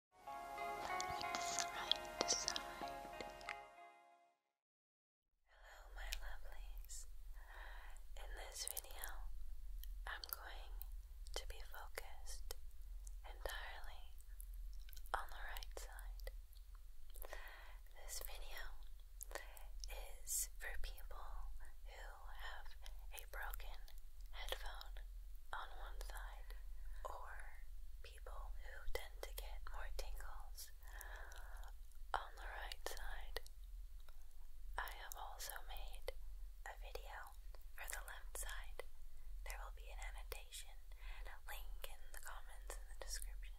Look side Hello, my lovelies. In this video, I'm going to be focused entirely on the right side. This video is for people who have a broken headphone on one side, or people who tend to get more tingles on the right side. I have also made a video for the left side. There will be an annotation link in the comments in the description.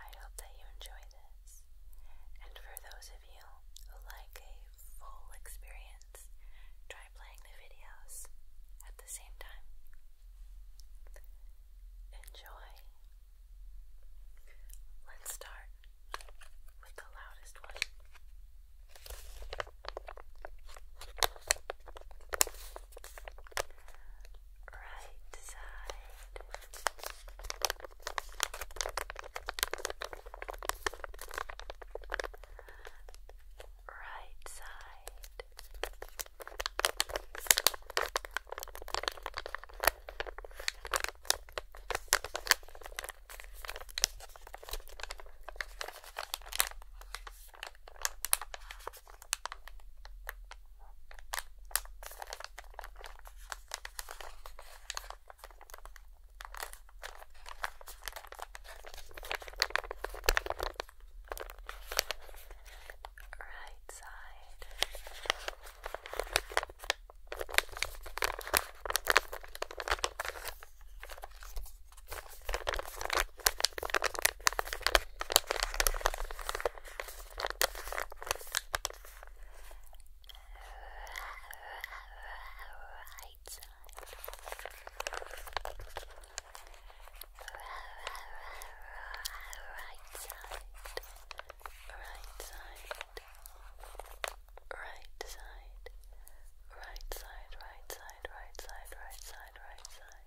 I hope that you enjoy this. And for those of you who like a full experience, try playing the videos at the same time. Enjoy. Let's start with the loudest one. Right side right side. Right side. Right side. Right side, right side, right side, right side, right side, right side, right side, right side. Right side,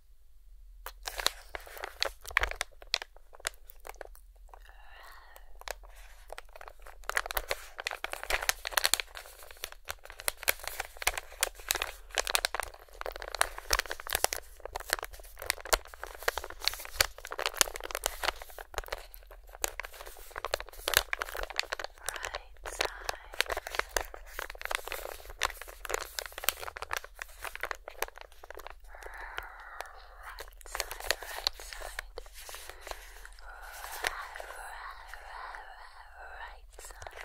Right side right side, right side, right, right, right side. Right side,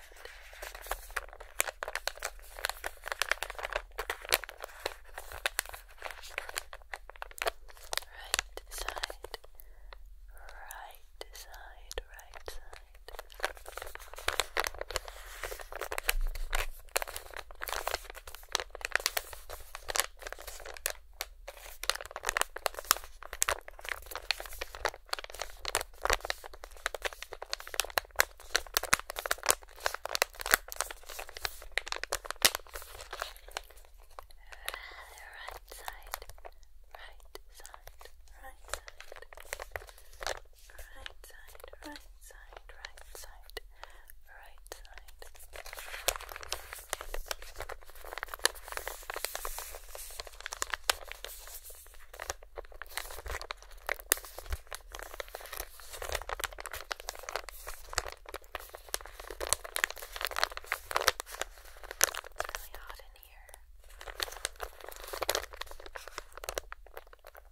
right side, right side right side, right side, right side right side, right side, right side, right side. It's really hot in here.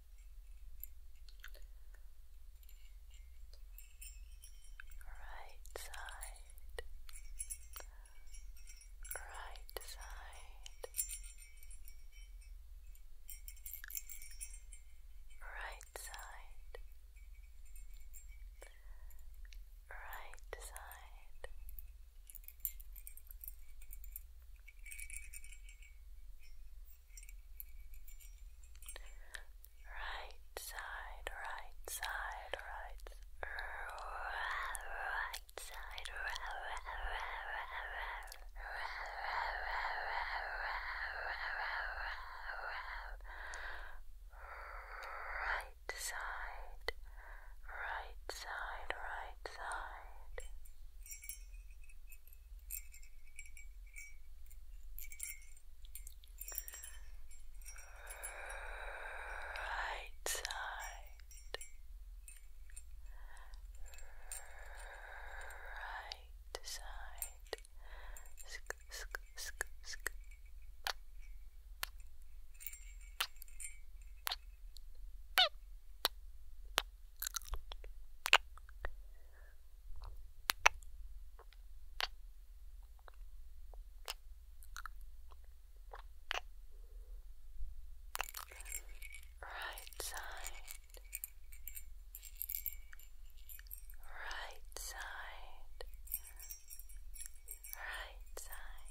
right side, right side, right side, right side. Right side, Right side, right side, right, right side, right side, right side, right side. Right side, right side, sk sk sk sk. Right side, right side, right side,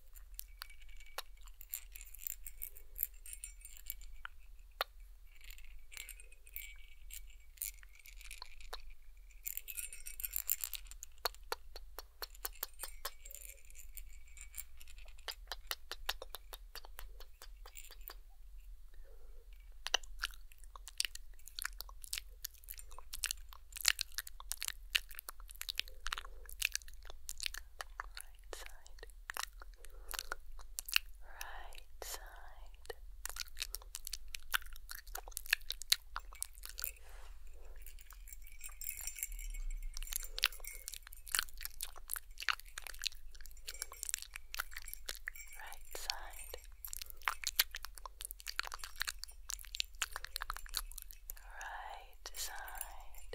Right side right side. Right side, right side to side. Right side.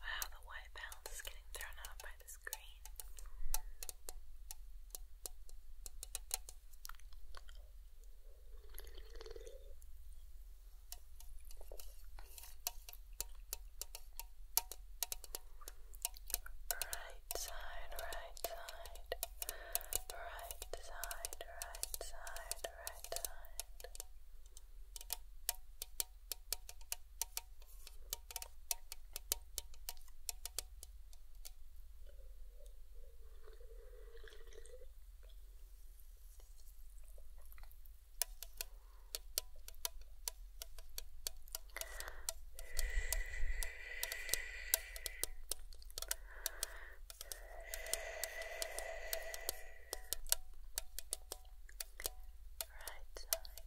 Wow, the white balance is getting thrown off by the screen. Right side, right side, right side, right side, right side. Right side. Right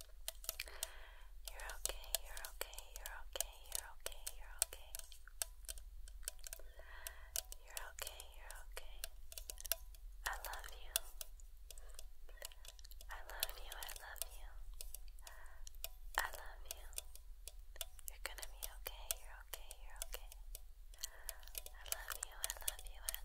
you're okay, you're okay, you're okay, you're okay, you're okay. You're okay, you're okay. I love you. I love you, I love you. I love you. You're gonna be okay, you're okay, you're okay. I love you, I love you, I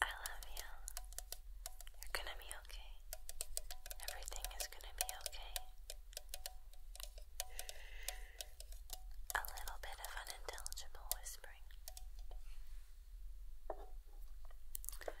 I love you. You're gonna be okay. Everything is gonna be okay. A little bit of unintelligible whispering. Just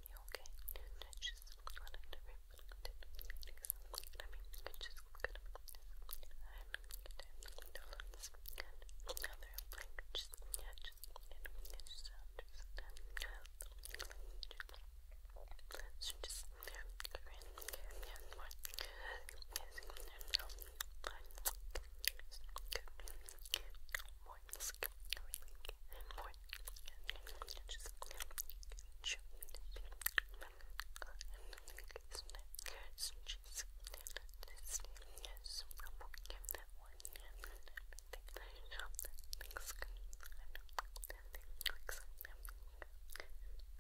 um, you okay? I just wanted to reflect it because I mean, I just could have and influence and other languages yeah, just, and we just understand so just, yeah, Korean, yeah, more is, and um, I, Korean, more more, and more, and just shoot Stitches. This is we'll give that one and everything. I know that things can. I know that things can.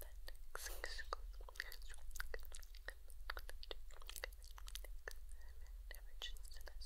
That things can. Never just to that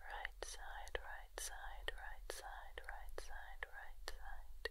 Right side, right right side, right side, right side, right side.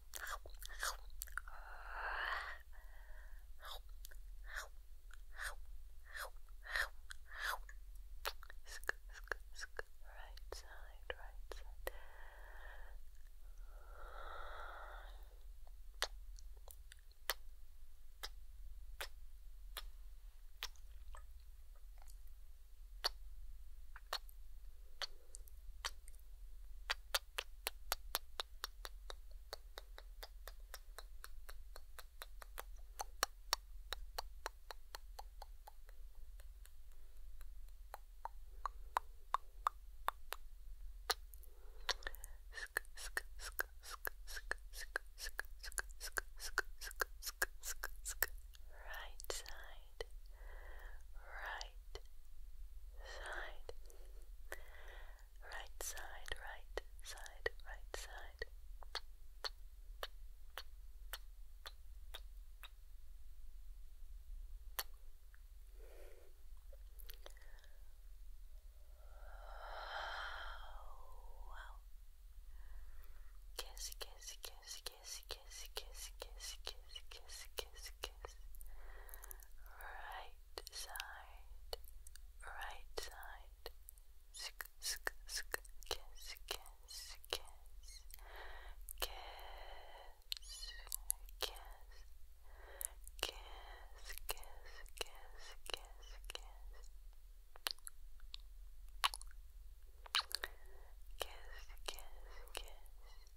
Right side, right side. Good. Right side right, right side, right side, right side, right side. Oh, wow. Kiss, kiss, kiss, kiss, kiss, kiss, kiss, kiss, kiss, kiss, kiss right side, right side. Sk sk kiss kiss kiss kiss kiss kiss kiss kiss kiss kiss kiss kiss kiss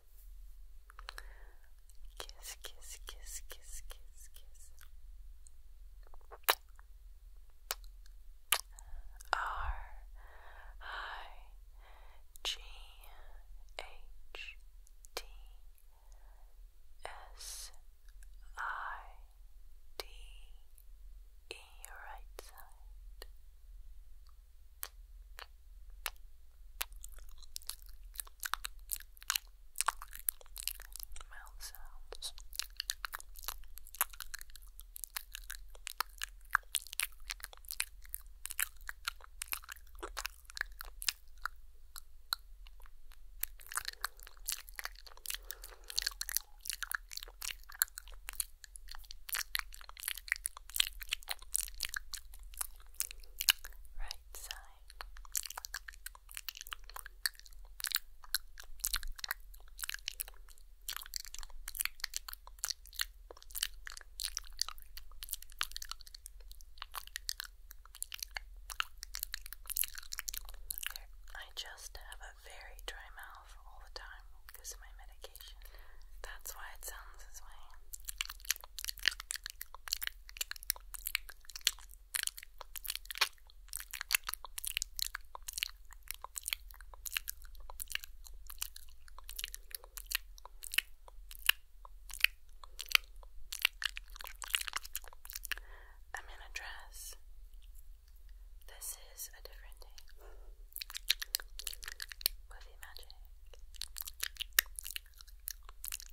Kiss, kiss, kiss, kiss, kiss, kiss. R I G H T S I D E right side. Mouth sounds. Right I just have a very dry mouth all the time because of my medication. That's why it sounds this way. I'm in a dress. This is a different day. Movie magic.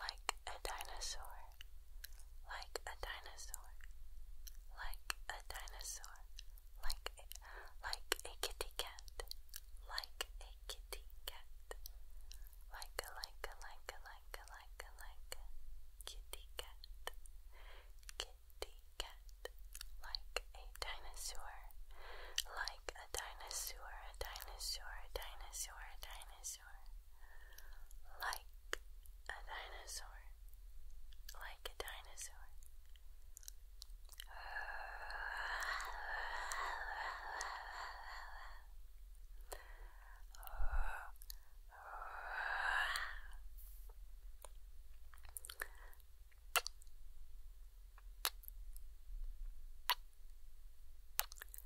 like a dinosaur, like a dinosaur, like a dinosaur, like a, like a kitty cat, like a kitty cat, like a like a like a like a like a like kitty cat, kitty cat, like a dinosaur, like a dinosaur, a dinosaur, a dinosaur, a dinosaur. Like a dinosaur. Like a dinosaur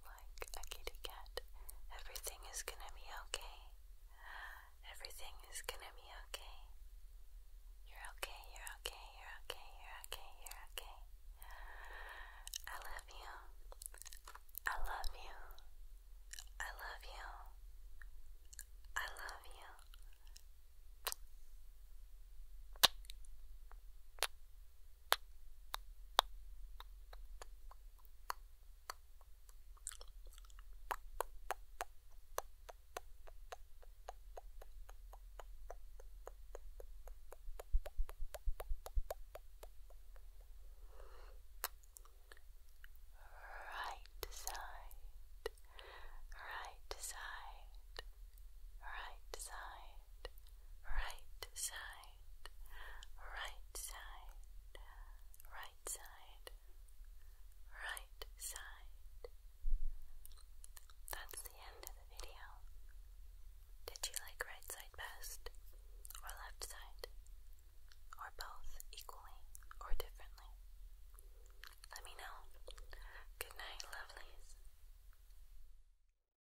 Like a kitty cat, everything is gonna be okay. Everything is gonna be okay. You're okay, you're okay, you're okay, you're okay, you're okay. I love you. I love you. I love you. I love you. Right side, right side, right side right side, right side, right side, right side. That's the end of the video. Did you like right side best, or left side, or both equally or differently? Let me know. Good night, lovelies.